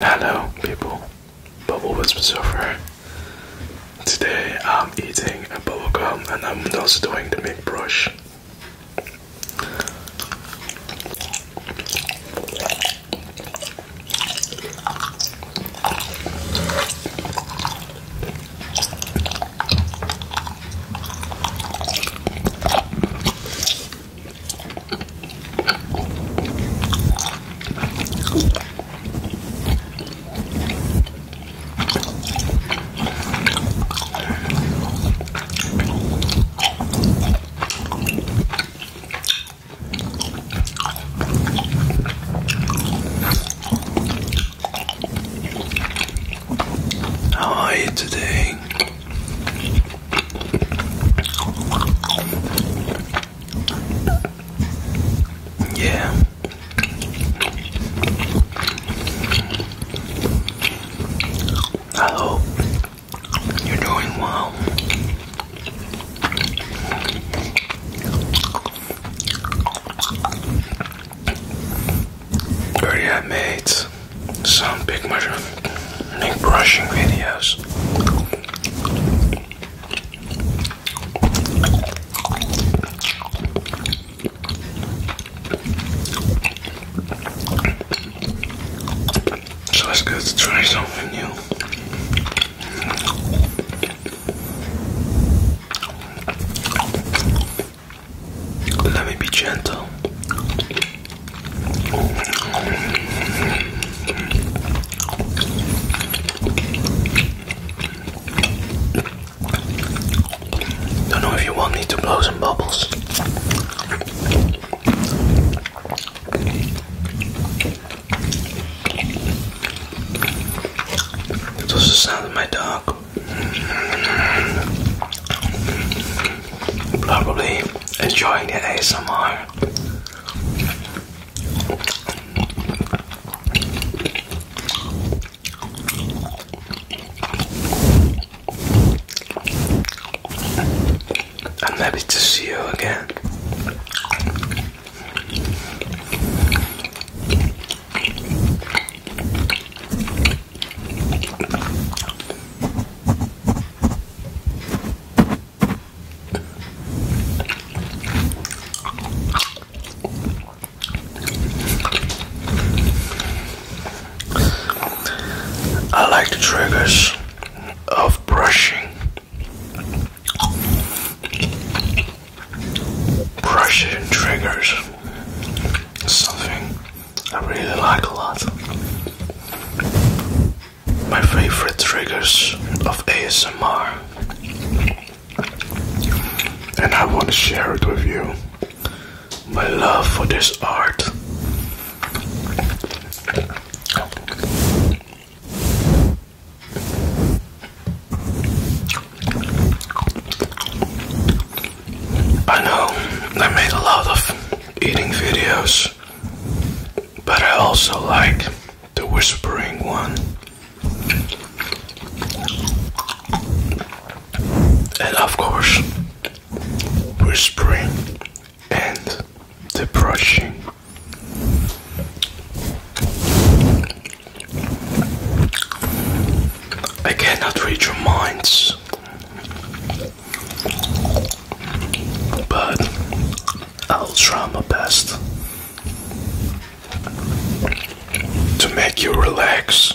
Hello, people. Bubble Whisper Surfer. Today I'm eating a bubblegum and I'm also doing the big brush. How are you today? Yeah. I you're doing well. Already have made some big mushroom neck brushing videos. So let's go to try something new. Let me be gentle. Don't know if you want me to blow some bubbles. That was the sound of my dog. Probably enjoying the ASMR. I'm happy to see you again. I like the triggers of brushing. Brushing triggers. Something I really like a lot my favorite triggers of ASMR, and I want to share it with you. My love for this art. I know I made a lot of eating videos but I also like the whispering one. And of course, whispering and the brushing. I cannot read your minds. But I'll try my best to make you relax.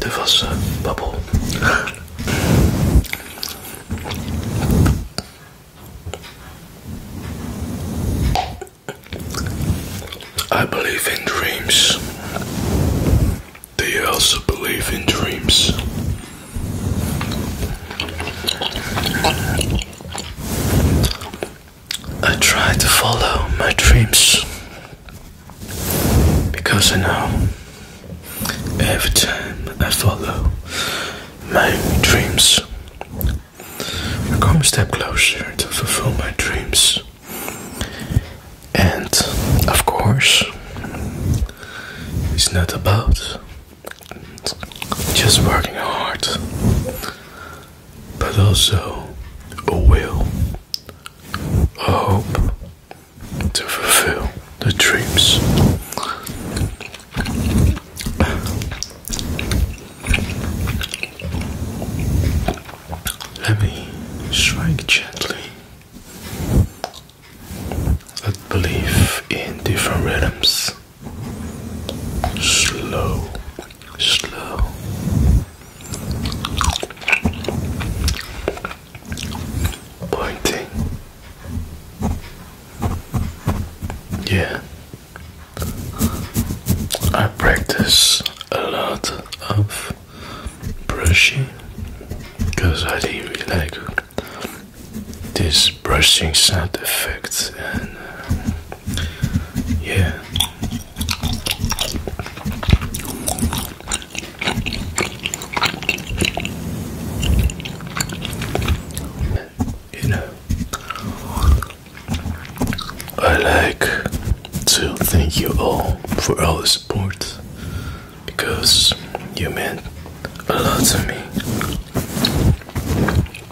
De wassen, eh, babbel. I believe in dreams. Do also believe in dreams? I try to follow my dreams because I know every time I follow my dreams, I come a step closer to fulfill my dreams. And of course, it's not about just working hard, but also a will, a hope to fulfill the dreams. Let me strike gently Let belief in different rhythms. Slow, slow. Pointing. Yeah. I practice a lot of brushing because I didn't really like this brushing sound effect and. Uh, yeah. You know, I like to thank you all for all the support because you meant a lot to me.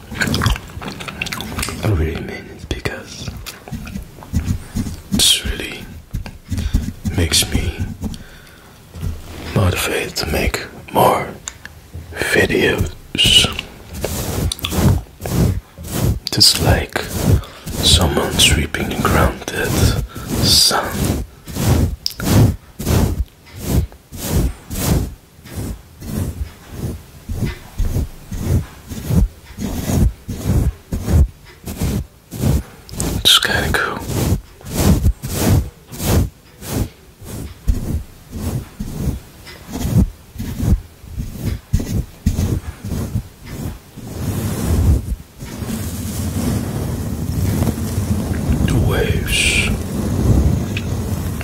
I really mean it because this really makes me motivated to make more videos. It's like someone sweeping the ground that sound it's kind of cool. The waves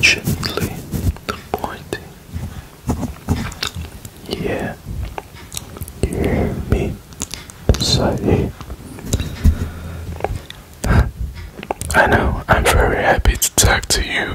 Gently the pointing. Yeah. hear me? Sorry. I know, I'm very happy to talk to you.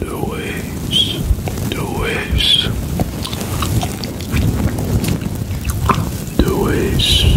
The waves, the waves, the waves.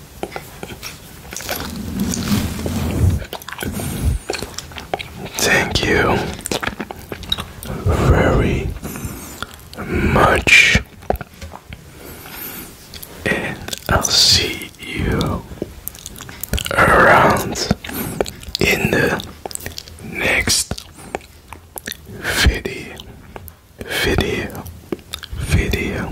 Thank you very much, and I'll see you around in the next video. Video. Video.